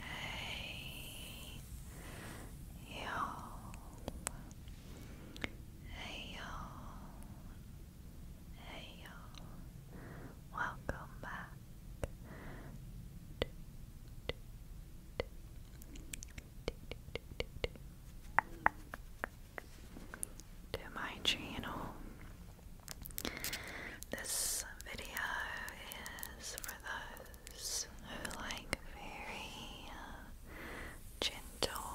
Hey y'all. Hey y'all. Hey y'all. Welcome back to my channel. This video is for those who like very uh, gentle,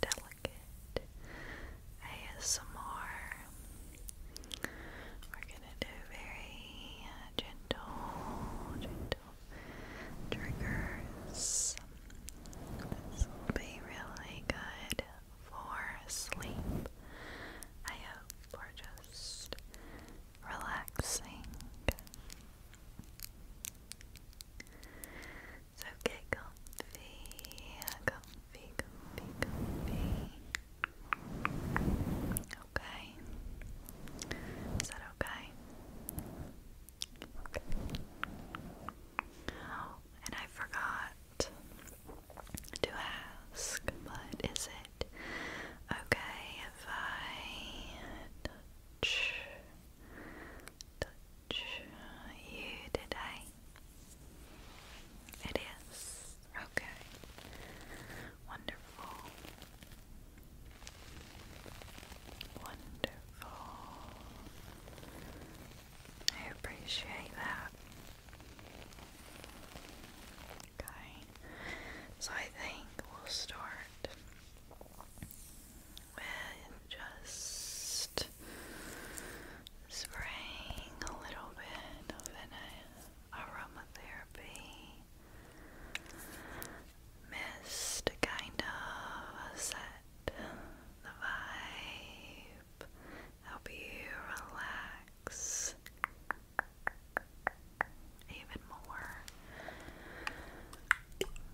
delicate ASMR. We're gonna do very uh, gentle, gentle triggers. This will be really good for sleep. I hope we just relaxing. So get comfy, Okay. Is that okay? Oh, and I forgot to ask, but is it okay if I touch you today? It is okay. Wonderful. Wonderful. I appreciate that. Okay, so I think we'll start with just spraying a little bit of an aromatherapy mist to kind of set the vibe help you relax even more.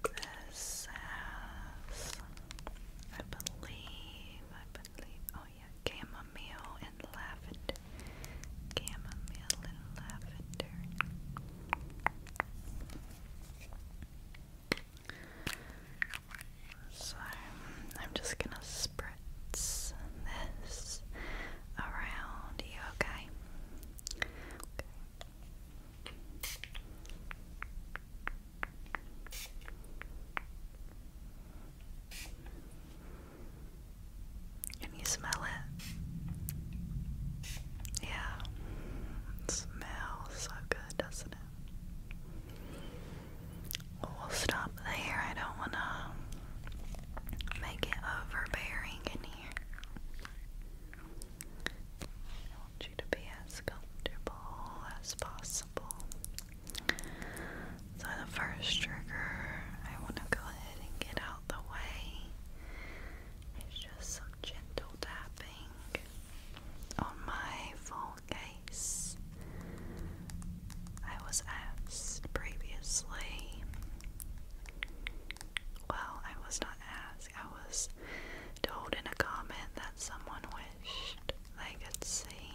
This has, I believe, I believe, oh yeah, chamomile and lavender. Chamomile and lavender. So I'm just gonna spritz this around you, okay? Okay. Can you smell it? Yeah. It smells so good, doesn't it? We'll stop there. I don't want to make it overbearing in here. I want you to be as comfortable as possible. So, the first trigger I want to go ahead and get out the way is just some gentle tapping on my forearm case. I was asked previously. Well, I was not asked. I was told in a comment that someone wished they could see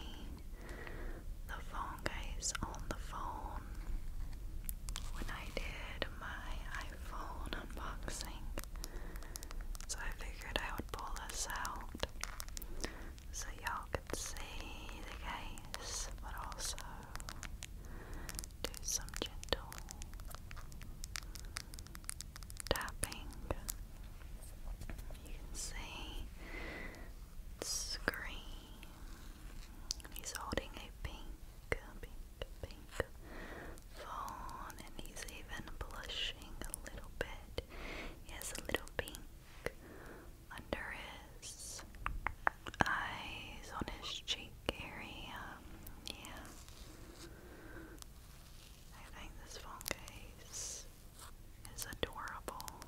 the phone case on the phone when I did my iPhone unboxing. So I figured I would pull this out so y'all can see the case but also do some gentle tapping. You can see Scream. He's holding a pink, pink, pink phone, and he's even blushing a little bit. He has a little pink under his eyes, on his cheek area. Yeah. I think this phone case is adorable.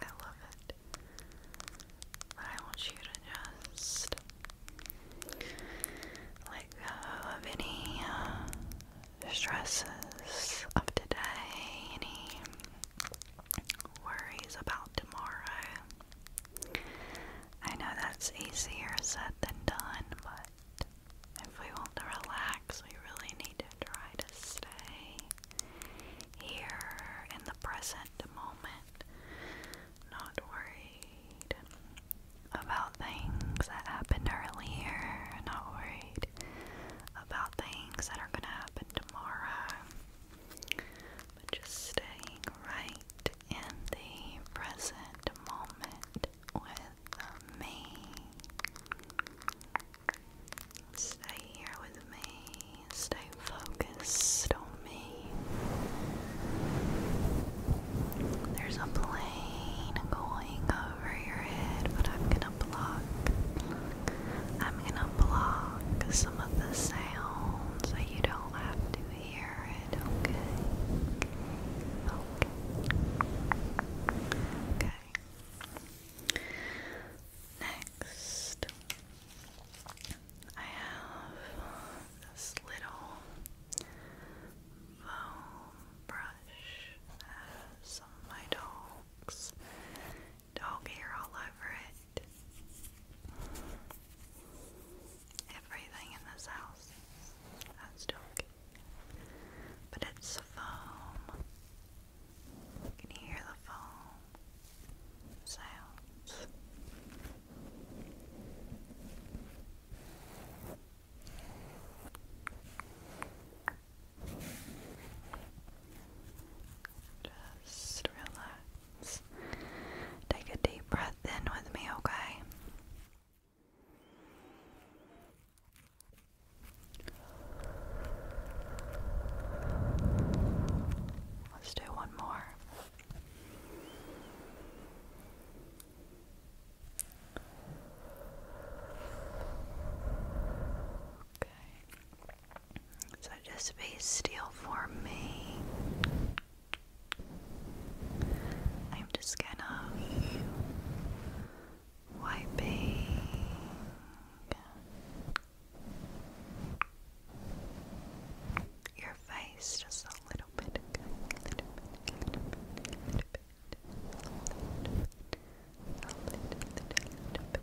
I love it. I want you to just let go of any uh, stresses of today, any worries about tomorrow. I know that's easier said than done, but if we want to relax, we really need to try to stay here in the present moment, not worried about things that happened earlier, not worried about things that are going to happen tomorrow, but just staying right in the present moment with me. Stay here with me, stay focused on me. There's a plane going over your head, but I'm gonna block I'm gonna block some of the sounds so you don't have to hear it, okay? Okay. Okay. Next, I have this little foam brush that some of my dogs dog hair all over it. Everything in this house has dog But it's foam. You hear the foam sounds. Just relax. Take a deep breath in with me, okay? Let's do one more. Okay. So just be still for me. I'm just gonna wiping. Your face just a little bit, a little bit,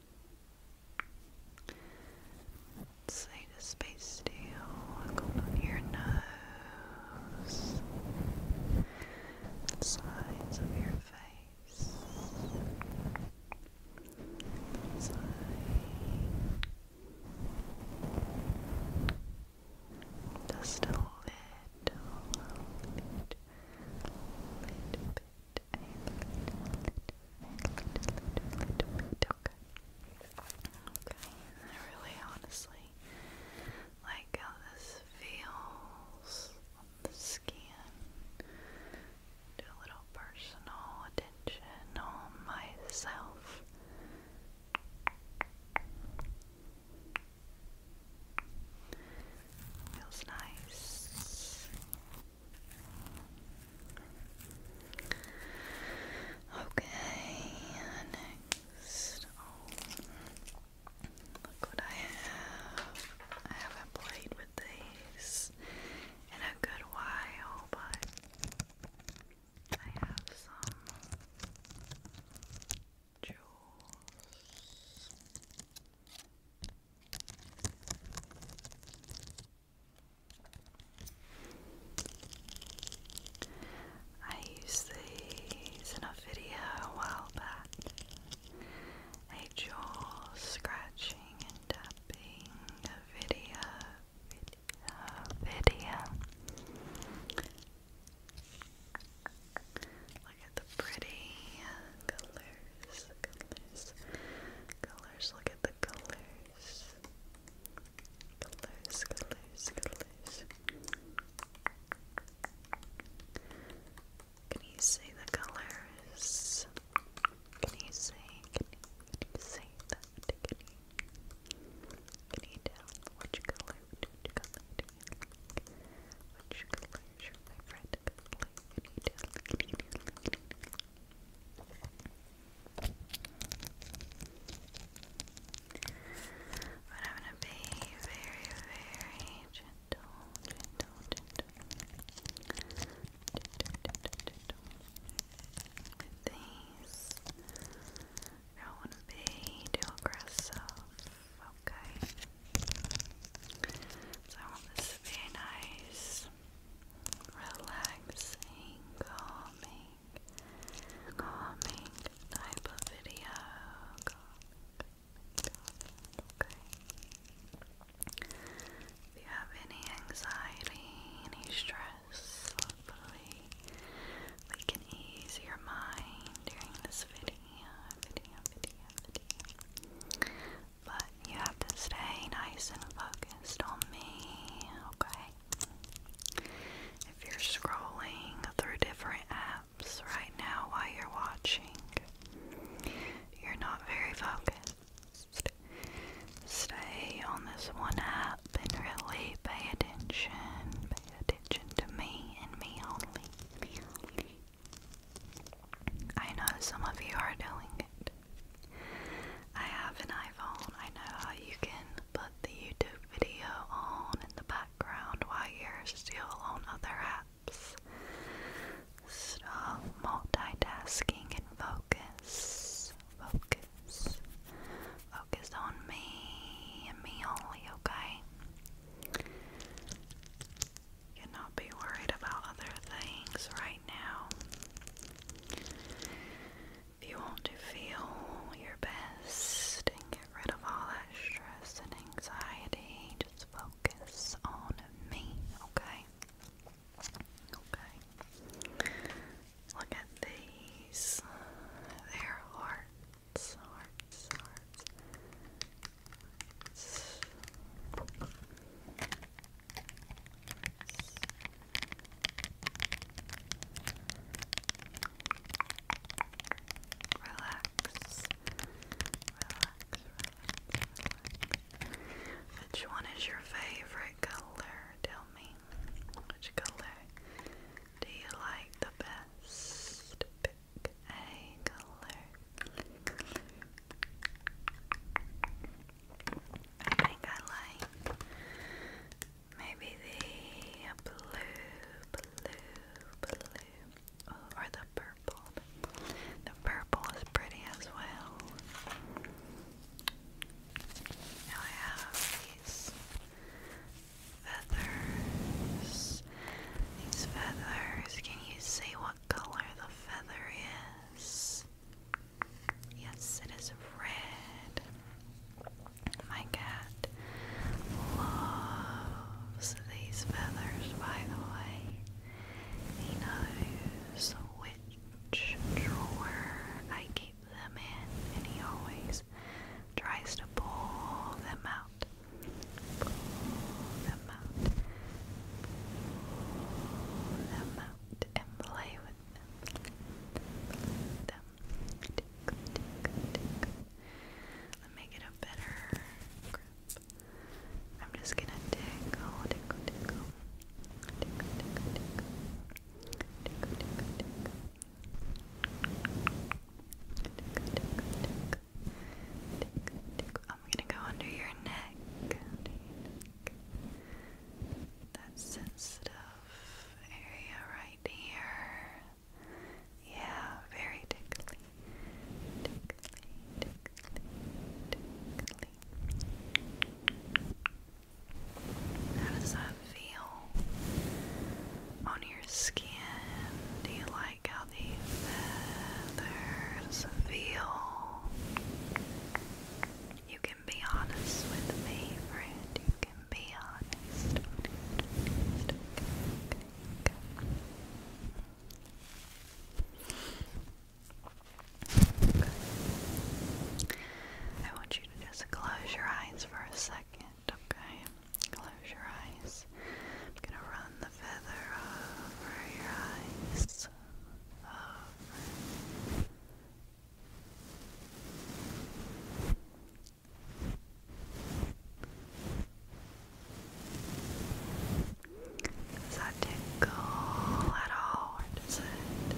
Say the space deal, going on your nose, sides of your face, just a little, little, little bit okay? Okay, I really honestly like how this feels on the skin. a little personal attention myself. Feels nice. Okay, next. look what I have. I haven't played with these in a good while, but I have some jewels. I used these in a video a while back. A jaw scratching and tapping video, video, Look at the pretty colors, colors, colors. Look at the colors colors, colors, colors. Can you say the colors? Can you say? Can you, say that? Can you? tell which color? Which color? Which color is but I'm going to be very, very gentle, gentle, gentle, with these. I don't want to be too aggressive, okay? So I want this to be nice relaxing, calming, calming type of video. If you have any anxiety, any stress, hopefully we can ease your mind during this video. But you have to stay nice and focused on me, okay? If you're scrolling through different apps right now while you're watching, you're not very focused. Stay on this one app and really pay attention. Pay attention to me and me only. I know some of you are doing it. I have an iPhone. I know how you can put the YouTube video on in the background while you're still on other apps. Stop multitasking and focus. Focus. Focus on me and me only, okay? Cannot be worried about other things right now. If you want to feel your best and get rid of all that stress and anxiety, just focus on me, okay? Okay. Look at these. They're hearts, hearts, hearts. Relax. Relax, Which one is your favorite color? Tell me. Which color do you like the best? Pick a color. I think I like maybe the blue, blue, blue, oh, or the purple. The purple is pretty as well. Now I have these feathers. These feathers, can you see what color the feather is? Yes, it is red. My cat loves these feathers, by the way. He knows which drawer I keep them in, and he always tries to pull them out. Pull them out. Pull them out and play with them. Let me get a better grip. I'm just gonna tickle, tickle, tickle, tickle, tickle, tickle, tickle, tickle, tickle. Tickle, tickle, tickle. Tickle, tickle. I'm gonna go under your neck. Under your neck that sensitive area right here. Yeah, very tickly. Tickly, tickly, tickly. How does that feel on your skin? Do you like how the feathers feel? You can be honest with me, friend. You can be honest. I want you to just close your eyes for a second, okay? Close your eyes. I'm gonna run the feather over your eyes. Does that tickle at all, or does it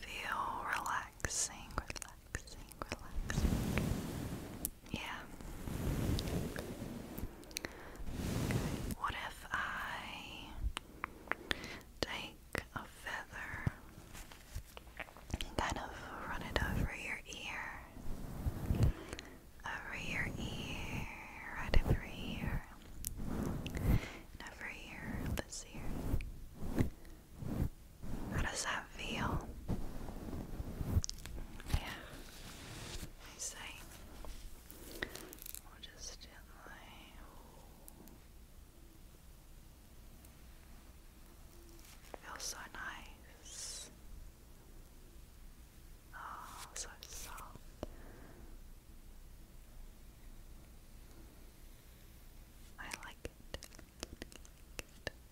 feel relaxing, relaxing, relaxing? Yeah. What if I take a feather and kind of run it over your ear, over your ear, right over your and over here, this ear. How does that feel? Yeah, I say. We'll just gently Feels so nice. Oh, so soft. I like it.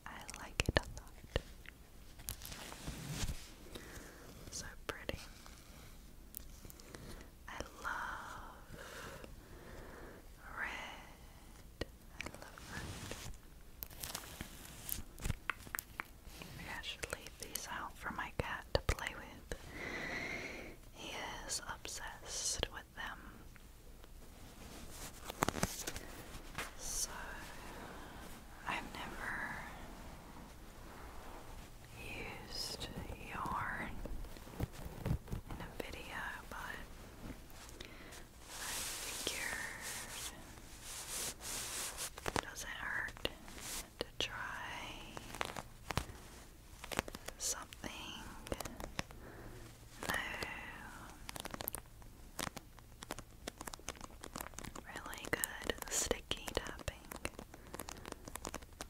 I like it a lot. So pretty. I love red. I love red. I should leave these out for my cat to play with. He is obsessed with them. So I've never used yarn in a video, but I figured it doesn't hurt to try something Really good sticky tapping.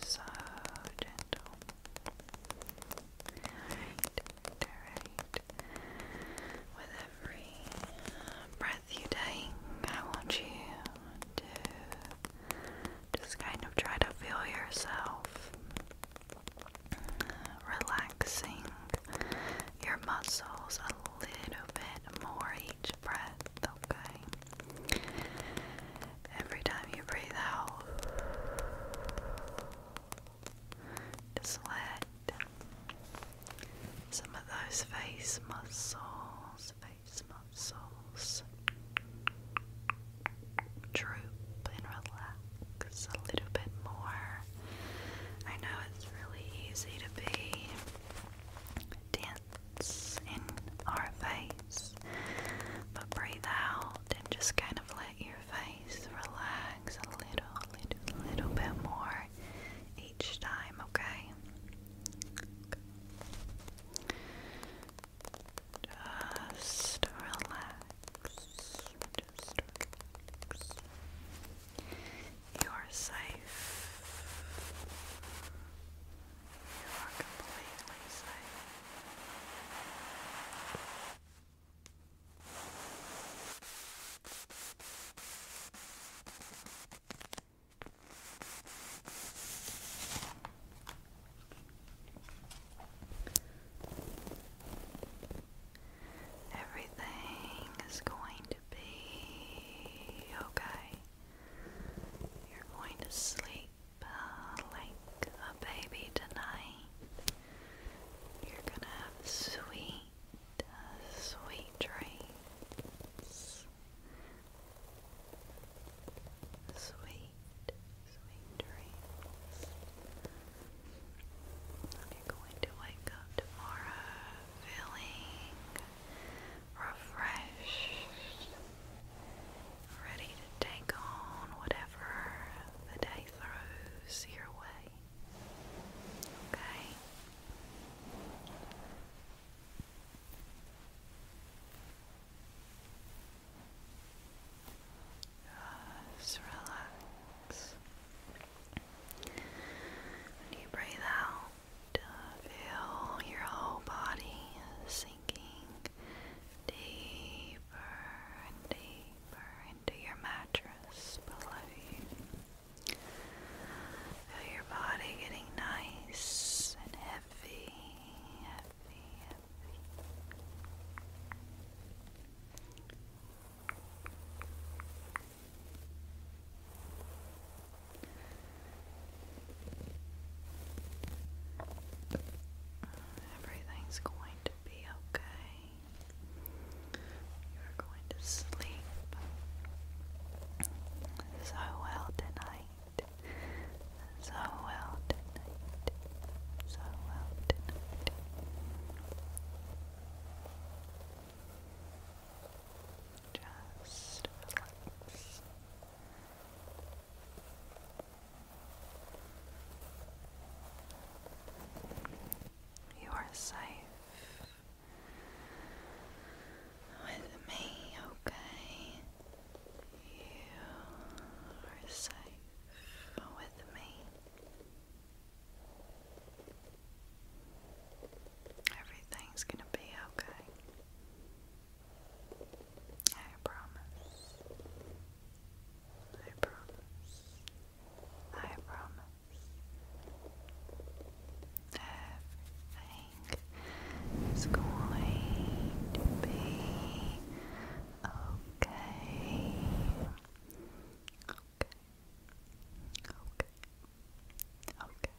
So gentle. Alright, With every breath you take, I want you to just kind of try to feel yourself relaxing your muscles a little bit more each breath, okay? Every time you breathe out, let some of those face muscles, face muscles droop and relax a little bit more. I know it's really easy to be dense in our face. But breathe out and just kind of let your face relax a little, little, little bit more each time, okay? Just relax. You are safe. You are completely safe. Everything is going to be okay. You're going to sleep like a baby tonight. You're gonna have sweet, sweet dreams. Sweet, sweet dreams. You're going to wake up tomorrow feeling refreshed ready to take on whatever the day throws your way. Okay? Just relax. When you breathe out, feel your whole body sinking deeper and deeper into your mattress below you. Feel your body getting nice and heavy, heavy, heavy. Everything's going to be okay. You're going to sleep so well tonight. So well tonight. So well tonight. Just relax. You are safe with me, okay? You are safe with me. Everything's gonna be okay. I promise. I promise. I promise. Everything is going to be okay. Okay. Okay. Okay.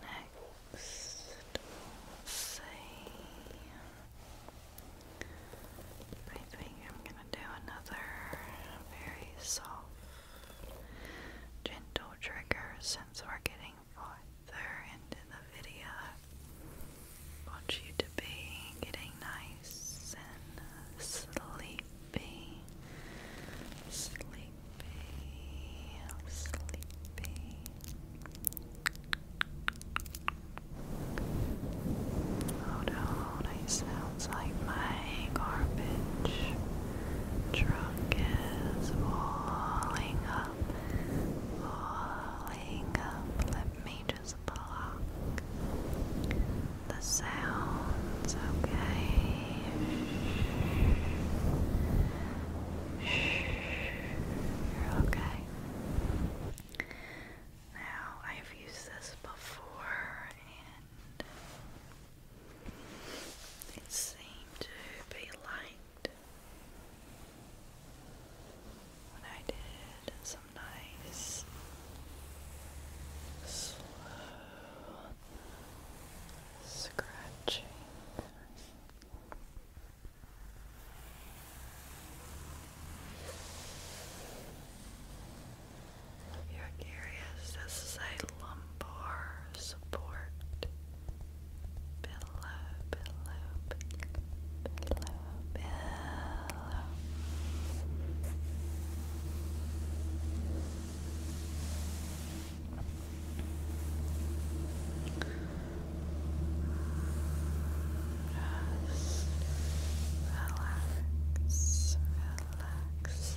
Next, we I think I'm gonna do another very soft, gentle trigger since we're getting farther into the video. want you to be getting nice and sleepy, sleepy, sleepy. Oh no, that sounds like my garbage truck is falling up, falling up. Let me just block the sounds, okay? You're okay. Now, I've used this before and it seemed to be liked when I did some nice slow scratching. you're curious, this is a lumbar support pillow, pillow, pillow, pillow. Rest, relax, relax, relax. Relax.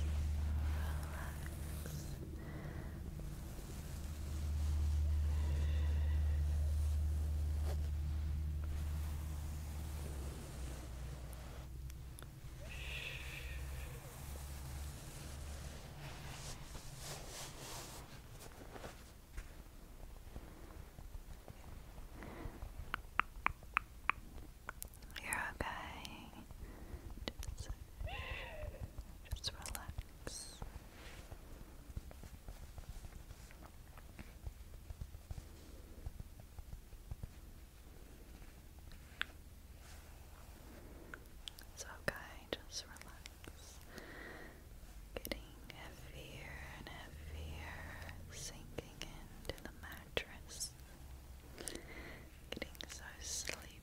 You're okay. Just, just relax. It's okay, just relax. Getting heavier and heavier, sinking into the mattress. Getting so sleepy.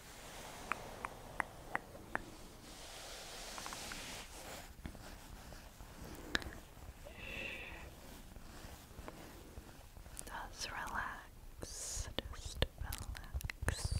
Just relax, just relax. relax.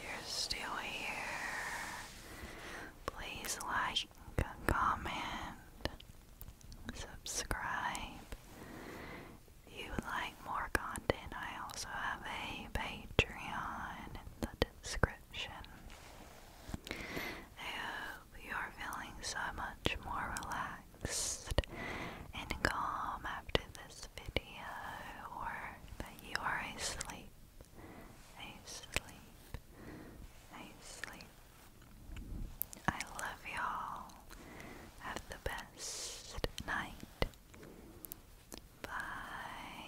You're still here. Please like, comment, subscribe. If you like more content, I also have a Patreon in the description. I hope you are much more relaxed and calm after this video or that you are asleep, asleep, asleep. I love y'all. Have the best night. Bye.